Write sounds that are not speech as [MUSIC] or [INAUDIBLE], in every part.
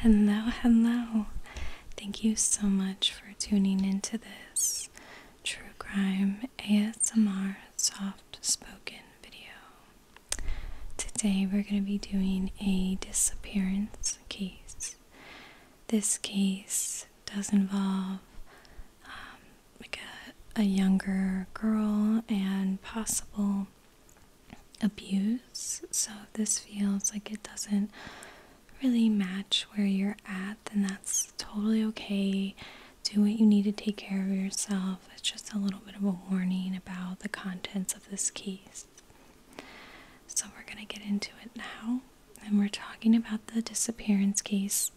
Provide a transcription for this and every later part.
Hello, hello. Thank you so much for tuning into this true crime ASMR soft spoken video. Today we're going to be doing a disappearance case. This case does involve um, like a younger girl and possible abuse. So if this feels like it doesn't really match where you're at, then that's totally okay. Do what you need to take care of yourself. It's just a little bit of a warning about the contents of this case. So we're going to get into it now. And we're talking about the disappearance case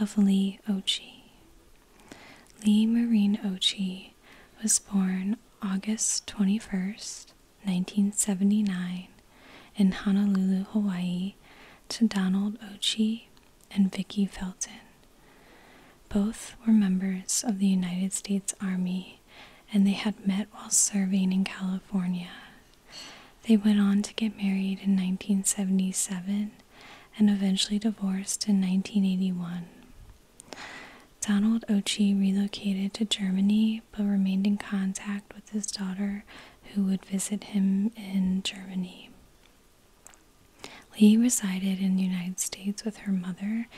of Lee Ochi. Lee Marine Ochi was born August 21st, 1979, in Honolulu, Hawaii, to Donald Ochi and Vicki Felton. Both were members of the United States Army and they had met while serving in California. They went on to get married in 1977 and eventually divorced in 1981. Donald Ochi relocated to Germany but remained in contact with his daughter, who would visit him in Germany. Lee resided in the United States with her mother,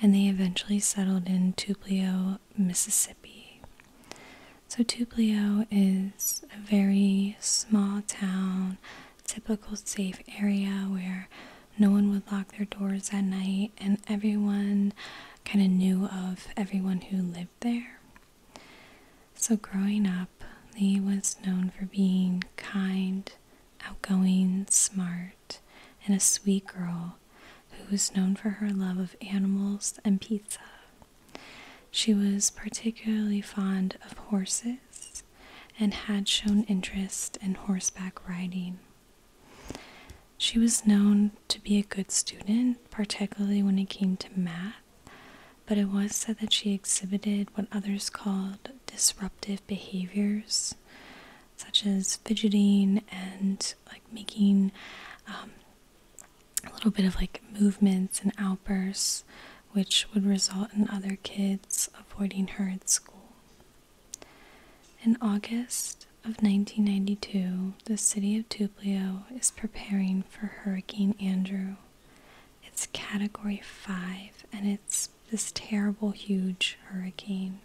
and they eventually settled in Tupelo, Mississippi. So, Tupelo is a very small town, typical safe area where no one would lock their doors at night, and everyone kind of knew of everyone who lived there. So, growing up, Lee was known for being kind, outgoing, smart, and a sweet girl who was known for her love of animals and pizza. She was particularly fond of horses and had shown interest in horseback riding. She was known to be a good student, particularly when it came to math, but it was said that she exhibited what others called disruptive behaviors, such as fidgeting and like making um, a little bit of like movements and outbursts, which would result in other kids avoiding her at school. In August of 1992, the city of Tublio is preparing for Hurricane Andrew. It's category 5 and it's this terrible, huge hurricane.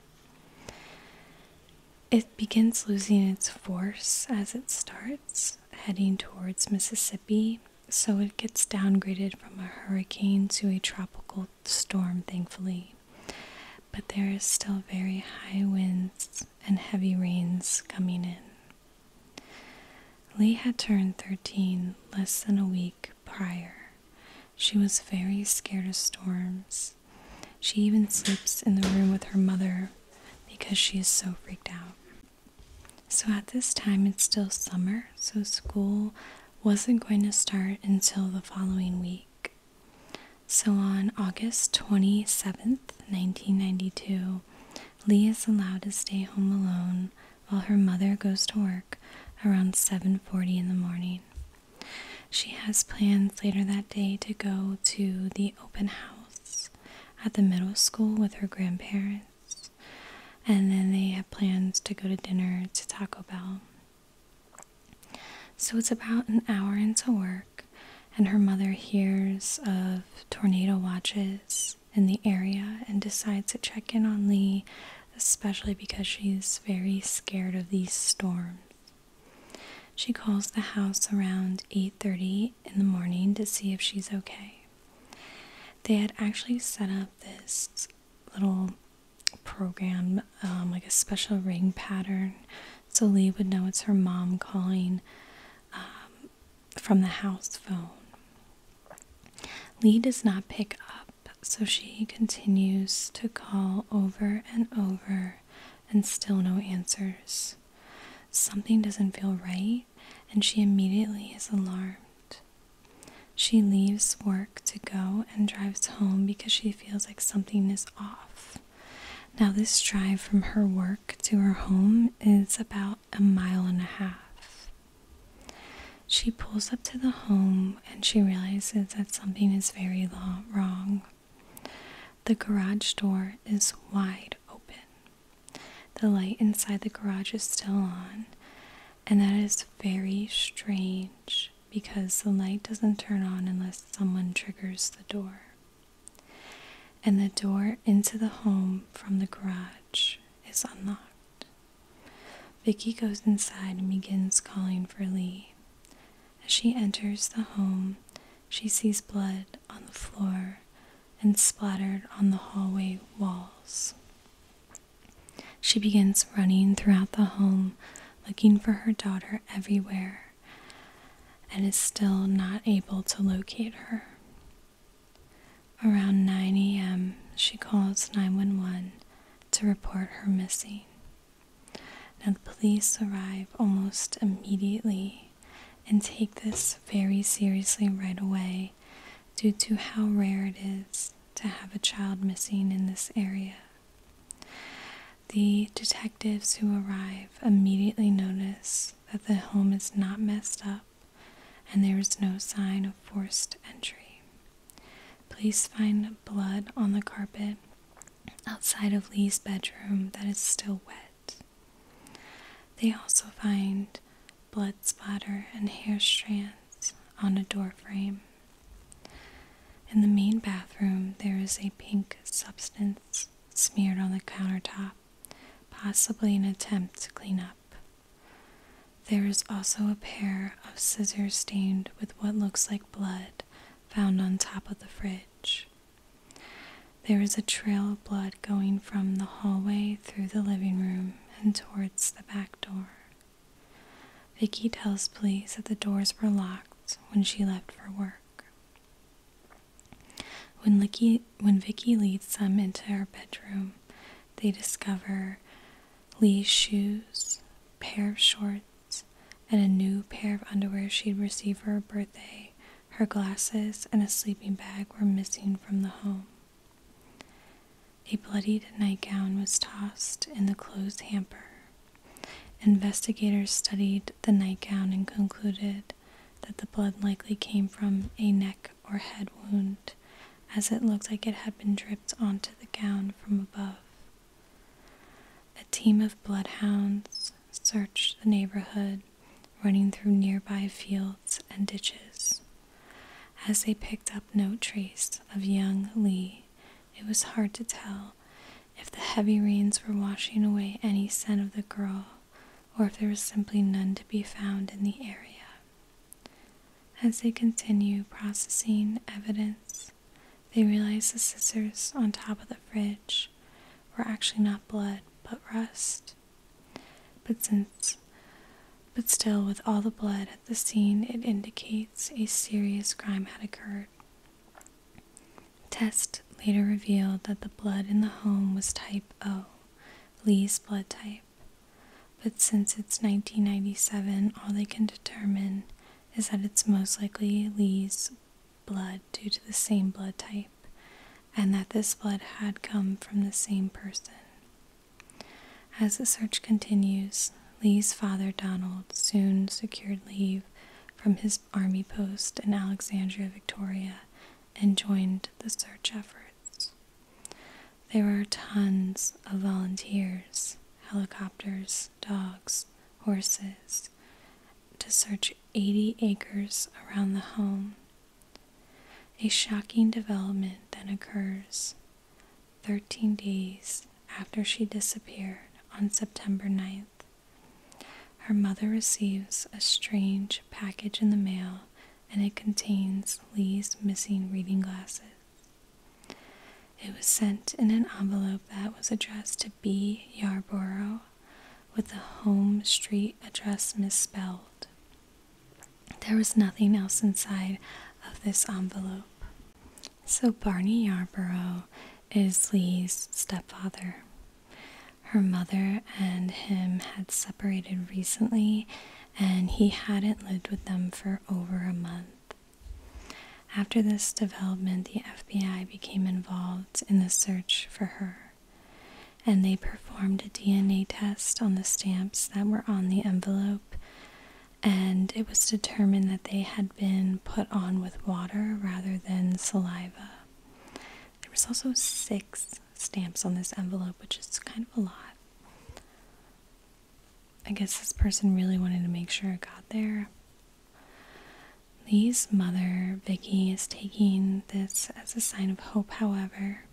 It begins losing its force as it starts heading towards Mississippi, so it gets downgraded from a hurricane to a tropical storm, thankfully but there is still very high winds and heavy rains coming in. Lee had turned 13 less than a week prior. She was very scared of storms. She even sleeps in the room with her mother because she is so freaked out. So at this time, it's still summer, so school wasn't going to start until the following week. So on August 27th, 1992, Lee is allowed to stay home alone while her mother goes to work around 7:40 in the morning. She has plans later that day to go to the open house at the middle school with her grandparents. And then they have plans to go to dinner to Taco Bell so it's about an hour into work, and her mother hears of tornado watches in the area and decides to check in on Lee, especially because she's very scared of these storms. She calls the house around 8:30 in the morning to see if she's okay. They had actually set up this little program, um, like a special ring pattern, so Lee would know it's her mom calling um, from the house phone. Lee does not pick up, so she continues to call over and over, and still no answers. Something doesn't feel right, and she immediately is alarmed. She leaves work to go and drives home because she feels like something is off. Now, this drive from her work to her home is about a mile and a half. She pulls up to the home and she realizes that something is very wrong. The garage door is wide open. The light inside the garage is still on, and that is very strange because the light doesn't turn on unless someone triggers the door. And the door into the home from the garage is unlocked. Vicky goes inside and begins calling for Lee. As she enters the home, she sees blood on the floor and splattered on the hallway walls. She begins running throughout the home, looking for her daughter everywhere and is still not able to locate her. Around 9 a.m., she calls 911 to report her missing. Now, the police arrive almost immediately and take this very seriously right away due to how rare it is to have a child missing in this area. The detectives who arrive immediately notice that the home is not messed up and there is no sign of forced entry. Police find blood on the carpet outside of Lee's bedroom that is still wet. They also find blood splatter and hair strands on a door frame. In the main bathroom, there is a pink substance smeared on the countertop, possibly an attempt to clean up. There is also a pair of scissors stained with what looks like blood found on top of the fridge. There is a trail of blood going from the hallway through the living room and towards the back door. Vicky tells police that the doors were locked when she left for work. When, Licky, Vicky leads them into her bedroom, they discover Lee's shoes, pair of shorts, and a new pair of underwear she'd received for her birthday. Her glasses and a sleeping bag were missing from the home. A bloodied nightgown was tossed in the clothes hamper. Investigators studied the nightgown and concluded that the blood likely came from a neck or head wound, as it looked like it had been dripped onto the gown from above. A team of bloodhounds searched the neighborhood, running through nearby fields and ditches. As they picked up no trace of young Lee, it was hard to tell if the heavy rains were washing away any scent of the girl or if there was simply none to be found in the area. As they continue processing evidence, they realize the scissors on top of the fridge were actually not blood but rust. But since but still with all the blood at the scene it indicates a serious crime had occurred. Tests later revealed that the blood in the home was type O, Lee's blood type. But since it's 1997, all they can determine is that it's most likely Lee's blood due to the same blood type, and that this blood had come from the same person. As the search continues, Lee's father, Donald, soon secured leave from his army post in Alexandria, Victoria, and joined the search efforts. There were tons of volunteers, helicopters, dogs, horses, to search 80 acres around the home. A shocking development then occurs. 13 days after she disappeared on September ninth, her mother receives a strange package in the mail and it contains Lee's missing reading glasses. It was sent in an envelope that was addressed to B. Yarborough with the home street address misspelled. There was nothing else inside of this envelope. So Barney Yarborough is Lee's stepfather. Her mother and him had separated recently, and he hadn't lived with them for over a month. After this development, the FBI became involved in the search for her, and they performed a DNA test on the stamps that were on the envelope and it was determined that they had been put on with water rather than saliva. There was also six stamps on this envelope, which is kind of a lot. I guess this person really wanted to make sure it got there. Lee's mother, Vicky, is taking this as a sign of hope, however.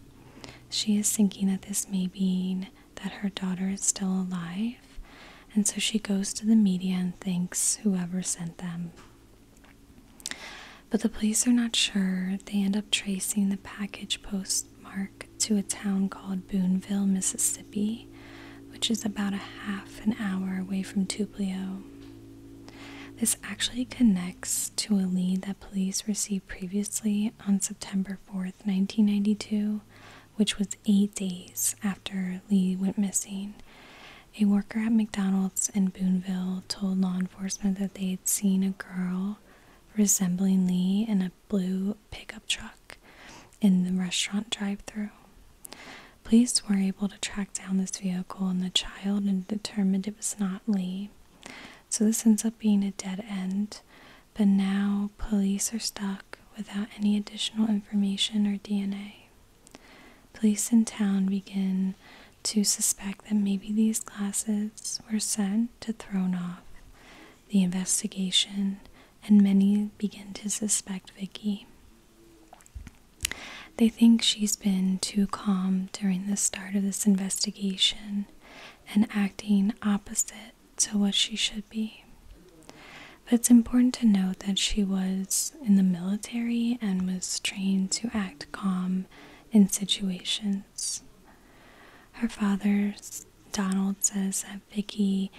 She is thinking that this may mean that her daughter is still alive and so she goes to the media and thanks whoever sent them. But the police are not sure. They end up tracing the package postmark to a town called Booneville, Mississippi, which is about a half an hour away from Tublio. This actually connects to a lead that police received previously on September 4th, 1992, which was eight days after Lee went missing. A worker at McDonald's in Booneville told law enforcement that they had seen a girl resembling Lee in a blue pickup truck in the restaurant drive through. Police were able to track down this vehicle and the child and determined it was not Lee. So this ends up being a dead end. But now police are stuck without any additional information or DNA. Police in town begin to suspect that maybe these glasses were sent to thrown off the investigation, and many begin to suspect Vicky. They think she's been too calm during the start of this investigation and acting opposite fit to what she should be. But it's important to note that she was in the military and was trained to act calm in situations. Her father, Donald, says that Vicky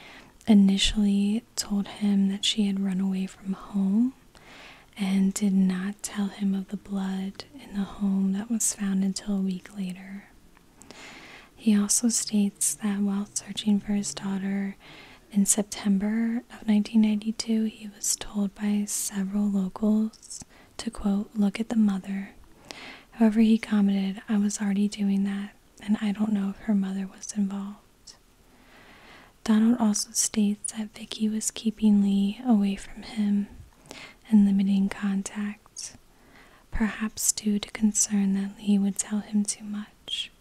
initially told him that she had run away from home and did not tell him of the blood in the home that was found until a week later. He also states that while searching for his daughter in September of 1992, he was told by several locals to quote, look at the mother. However, he commented, I was already doing that, and I don't know if her mother was involved. Donald also states that Vicky was keeping Lee away from him and limiting contact, perhaps due to concern that Lee would tell him too much.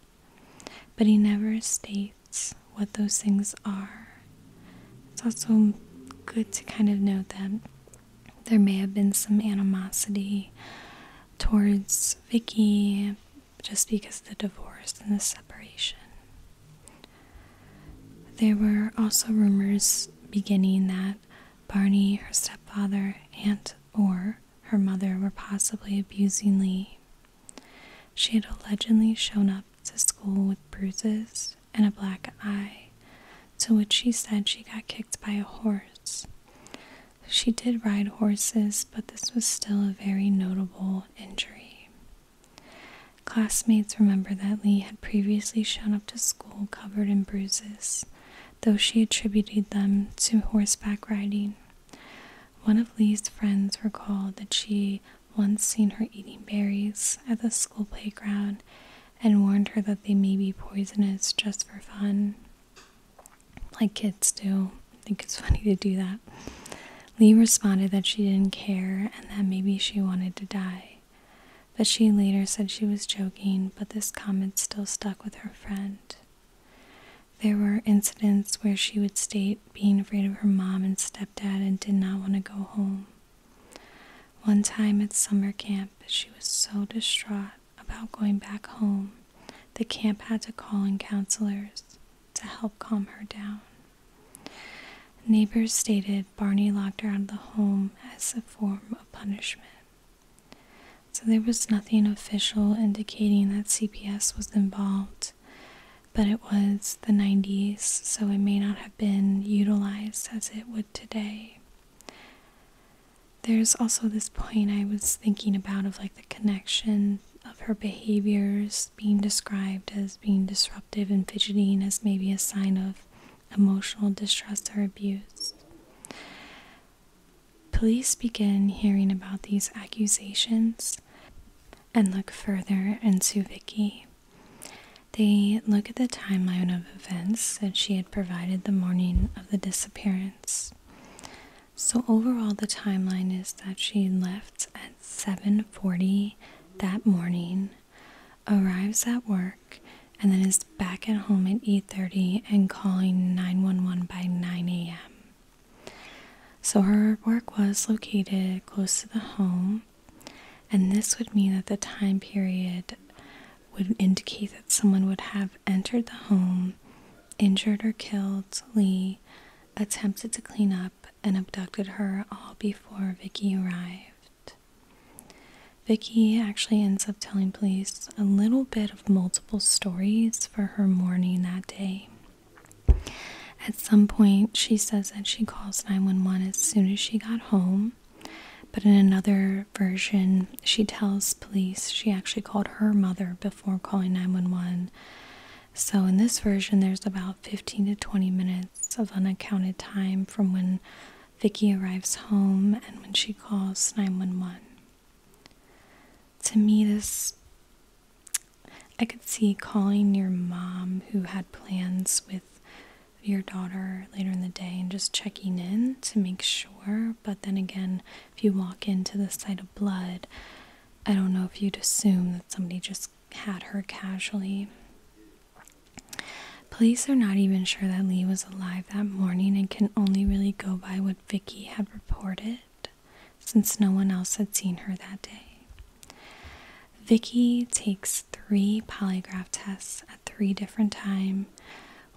But he never states what those things are. It's also good to kind of note that there may have been some animosity towards Vicky just because of the divorce and the separation. There were also rumors beginning that Barney, her stepfather, and or her mother were possibly abusing Lee. She had allegedly shown up to school with bruises and a black eye, to which she said she got kicked by a horse. She did ride horses, but this was still a very notable injury. Classmates remember that Lee had previously shown up to school covered in bruises, though she attributed them to horseback riding. One of Lee's friends recalled that she once seen her eating berries at the school playground and warned her that they may be poisonous just for fun. Like kids do. I think it's [LAUGHS] funny to do that. Lee responded that she didn't care and that maybe she wanted to die. But she later said she was joking, but this comment still stuck with her friend. There were incidents where she would state being afraid of her mom and stepdad and did not want to go home. One time at summer camp, she was so distraught about going back home, the camp had to call in counselors to help calm her down. Neighbors stated Barney locked her out of the home as a form of punishment. So there was nothing official indicating that CPS was involved, but it was the 90s, so it may not have been utilized as it would today. There's also this point I was thinking about of like the connection of her behaviors being described as being disruptive and fidgeting as maybe a sign of emotional distress or abuse. Police begin hearing about these accusations and look further into Vicky. They look at the timeline of events that she had provided the morning of the disappearance. So overall the timeline is that she left at 7:40 that morning, arrives at work, and then is back at home at 8:30 and calling 911 by 9 a.m so her work was located close to the home, and this would mean that the time period would indicate that someone would have entered the home, injured or killed Lee, attempted to clean up, and abducted her all before Vicky arrived. Vicky actually ends up telling police a little bit multiple stories for her morning that day. At some point, she says that she calls 911 as soon as she got home, but in another version, she tells police she actually called her mother before calling 911. So, in this version, there's about 15 to 20 minutes of unaccounted time from when Vicky arrives home and when she calls 911 to me, this I could see calling your mom who had plans with your daughter later in the day and just checking in to make sure. But then again, if you walk into the sight of blood, I don't know if you'd assume that somebody just had her casually. Police are not even sure that Lee was alive that morning and can only really go by what Vicky had reported since no one else had seen her that day. Vicky takes three polygraph tests at three different times.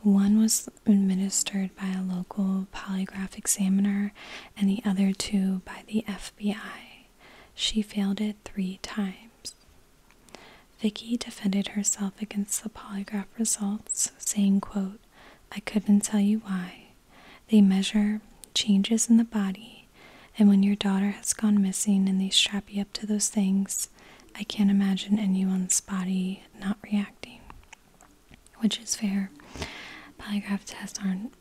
One was administered by a local polygraph examiner, and the other two by the FBI. She failed it three times. Vicky defended herself against the polygraph results, saying, quote, I couldn't tell you why. They measure changes in the body, and when your daughter has gone missing and they strap you up to those things, I can't imagine anyone's body not reacting, which is fair. Polygraph tests aren't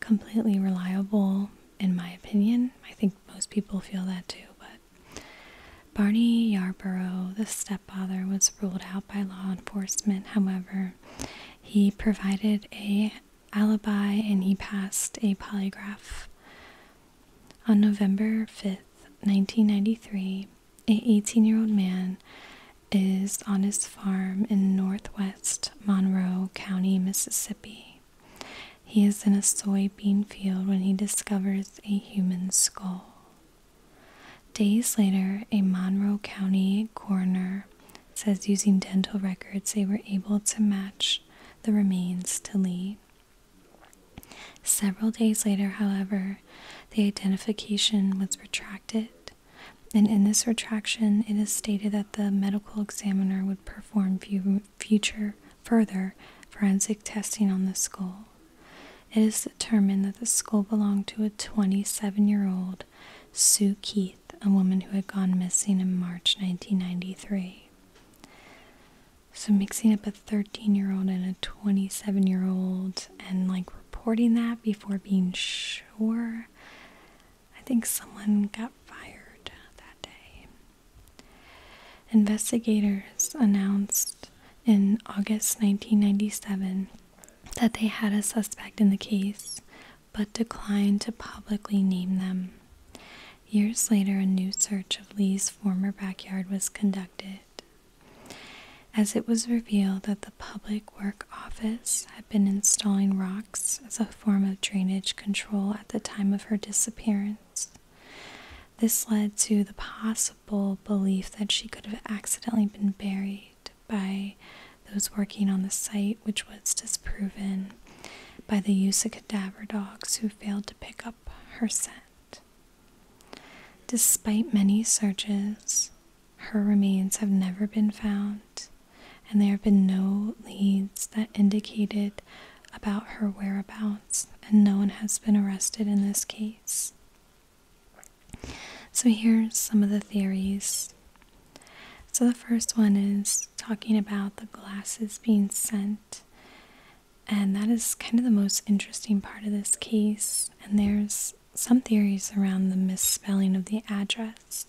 completely reliable, in my opinion. I think most people feel that too, but Barney Yarborough, the stepfather, was ruled out by law enforcement, however. He provided a alibi and he passed a polygraph. On November 5th, 1993, an 18-year-old man is on his farm in northwest Monroe County, Mississippi. He is in a soybean field when he discovers a human skull. Days later, a Monroe County coroner says using dental records, they were able to match the remains to Lee. Several days later, however, the identification was retracted, and in this retraction, it is stated that the medical examiner would perform future further forensic testing on the skull. It is determined that the skull belonged to a 27 year old Sue Keith, a woman who had gone missing in March 1993. So, mixing up a 13 year old and a 27 year old and like reporting that before being sure, I think someone got fired that day. Investigators announced in August 1997 that they had a suspect in the case, but declined to publicly name them. Years later, a new search of Lee's former backyard was conducted, as it was revealed that the Public Work Office had been installing rocks as a form of drainage control at the time of her disappearance. This led to the poss belief that she could have accidentally been buried by those working on the site, which was disproven by the use of cadaver dogs who failed to pick up her scent. Despite many searches, her remains have never been found, and there have been no leads that indicated about her whereabouts, and no one has been arrested in this case. So, here's some of the theories. So, the first one is talking about the glasses being sent, and that is kind of the most interesting part of this case. And there's some theories around the misspelling of the address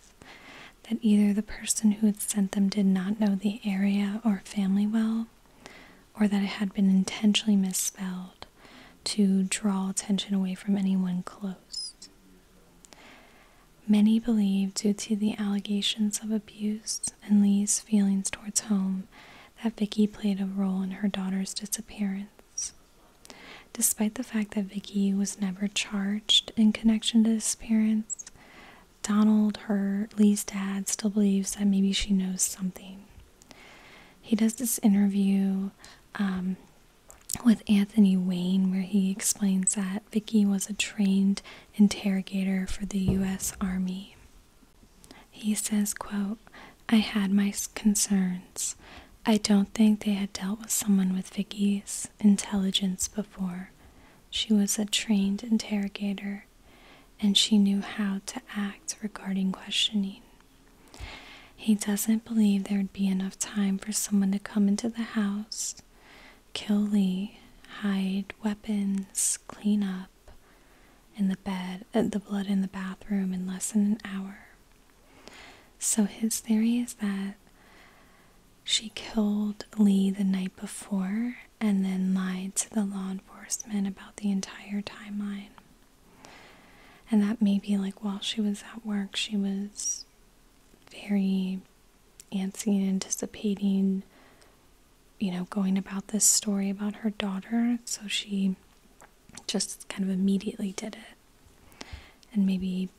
that either the person who had sent them did not know the area or family well, or that it had been intentionally misspelled to draw attention away from anyone close. Many believe, due to the allegations of abuse and Lee's feelings towards home, that Vicki played a role in her daughter's disappearance. Despite the fact that Vicki was never charged in connection to disappearance, Donald, her Lee's dad, still believes that maybe she knows something. He does this interview um, with Anthony Wayne where he explains that Vicki was a trained interrogator for the U.S. Army. He says, quote, I had my concerns. I don't think they had dealt with someone with Vicki's intelligence before. She was a trained interrogator, and she knew how to act regarding questioning. He doesn't believe there'd be enough time for someone to come into the house, kill Lee, hide weapons, clean up in the bed, uh, the blood in the bathroom in less than an hour. So his theory is that she killed Lee the night before and then lied to the law enforcement about the entire timeline. And that maybe, like, while she was at work, she was very antsy and anticipating, you know, going about this story about her daughter. So she just kind of immediately did it. And maybe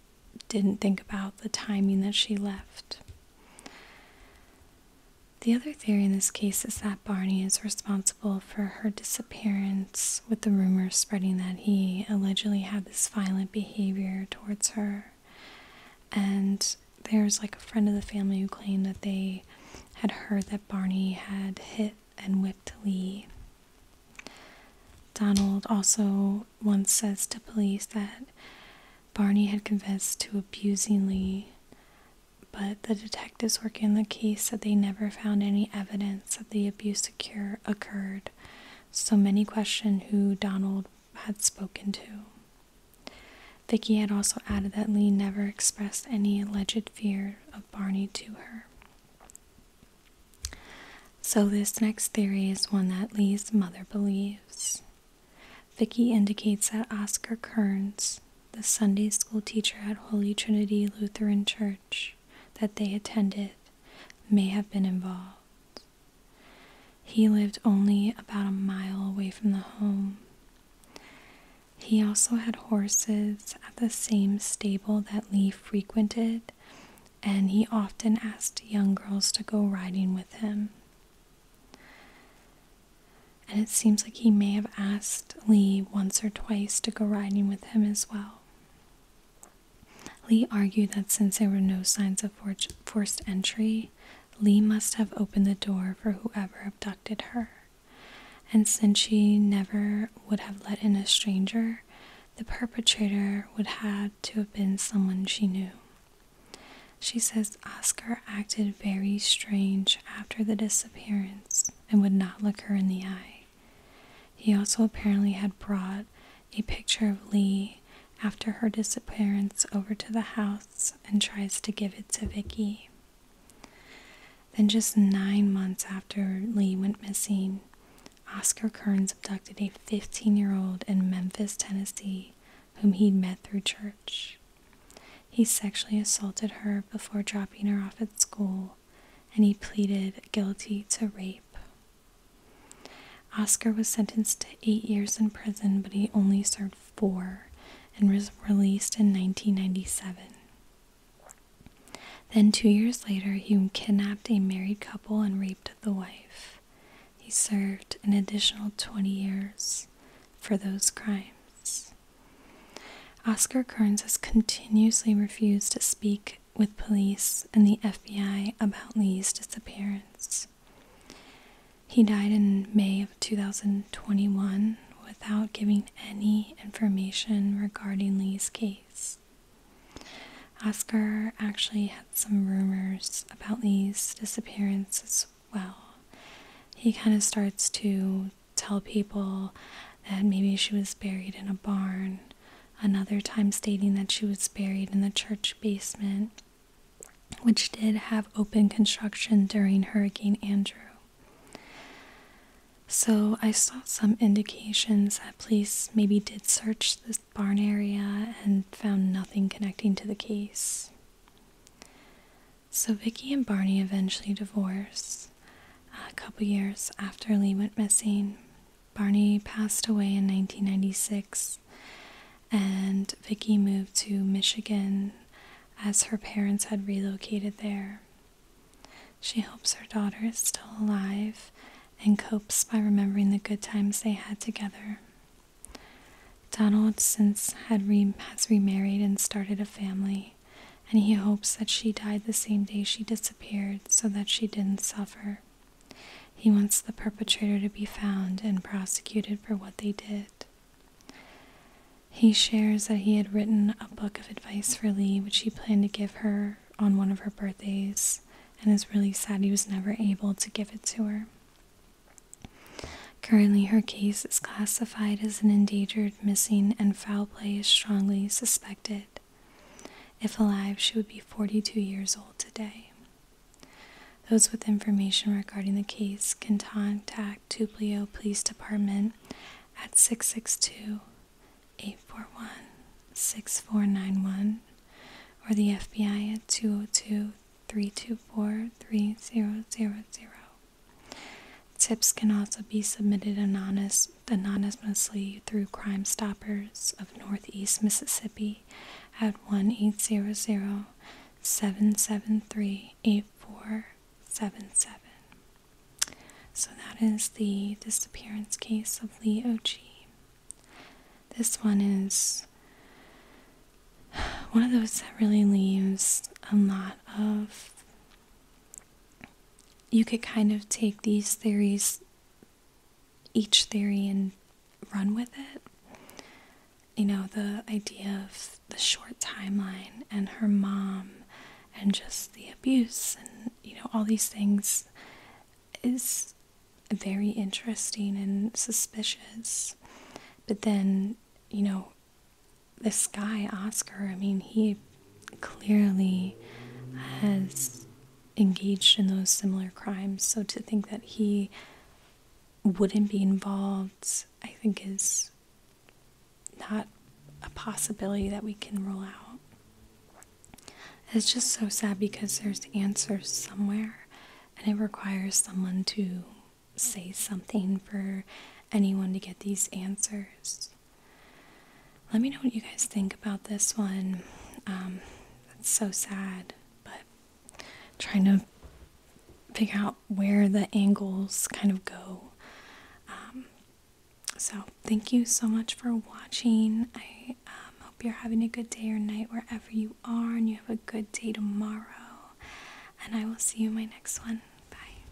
didn't think about the timing that she left. The other theory in this case is that Barney is responsible for her disappearance with the rumors spreading that he allegedly had this violent behavior towards her. And there's like a friend of the family who claimed that they had heard that Barney had hit and whipped Lee. Donald also once says to police that Barney had confessed to abusing Lee but the detectives working the case said they never found any evidence that the abuse occur- occurred, so many questioned who Donald had spoken to. Vicky had also added that Lee never expressed any alleged fear of Barney to her. So, this next theory is one that Lee's mother believes. Vicky indicates that Oscar Kerns the Sunday school teacher at Holy Trinity Lutheran Church that they attended may have been involved. He lived only about a mile away from the home. He also had horses at the same stable that Lee frequented, and he often asked young girls to go riding with him. And it seems like he may have asked Lee once or twice to go riding with him as well. Lee argued that since there were no signs of forced entry, Lee must have opened the door for whoever abducted her. And since she never would have let in a stranger, the perpetrator would have to have been someone she knew. She says Oscar acted very strange after the disappearance and would not look her in the eye. He also apparently had brought a picture of Lee after her disappearance over to the house and tries to give it to Vicky. Then just 9 months after Lee went missing, Oscar Kerns abducted a 15-year-old in Memphis, Tennessee, whom he'd met through church. He sexually assaulted her before dropping her off at school and he pleaded guilty to rape. Oscar was sentenced to eight years in prison, but he only served four and was released in 1997. Then, two years later, he kidnapped a married couple and raped the wife. He served an additional 20 years for those crimes. Oscar Kearns has continuously refused to speak with police and the FBI about Lee's disappearance. He died in May of 2021 without giving any information regarding Lee's case. Oscar actually had some rumors about Lee's disappearance as well. He kind of starts to tell people that maybe she was buried in a barn, another time stating that she was buried in the church basement, which did have open construction during Hurricane Andrew. So I saw some indications that police maybe did search the barn area and found nothing connecting to the case. So Vicky and Barney eventually divorced a couple years after Lee went missing. Barney passed away in 1996, and Vicki moved to Michigan as her parents had relocated there. She hopes her daughter is still alive and copes by remembering the good times they had together. Donald since had has remarried and started a family and he hopes that she died the same day she disappeared so that she didn't suffer. He wants the perpetrator to be found and prosecuted for what they did. He shares that he had written a book of advice for Lee, which he planned to give her on one of her birthdays, and is really sad he was never able to give it to her. Currently, her case is classified as an endangered, missing, and foul play is strongly suspected. If alive, she would be 42 years old today. Those with information regarding the case can contact Tublio Police Department at 662 841 6491 or the FBI at 202 324 3000. Tips can also be submitted anonymously through Crime Stoppers of Northeast Mississippi at 1 800 773 8477. So that is the disappearance case of Lee Ochi. This one is one of those that really leaves a lot of you could kind of take these theories, each theory, and run with it. You know, the idea of the short timeline and her mom and just the abuse and, you know, all these things is very interesting and suspicious. But then, you know, this guy, Oscar, I mean, he clearly has engaged in those similar crimes. So to think that he wouldn't be involved, I think, is not a possibility that we can rule out. It's just so sad because there's answers somewhere, and it requires someone to say something for anyone to get these answers. Let me know what you guys think about this one. Um, that's so sad, but trying to figure out where the angles kind of go. Um, so, thank you so much for watching. I um, hope you're having a good day or night wherever you are, and you have a good day tomorrow. And I will see you in my next one. Bye.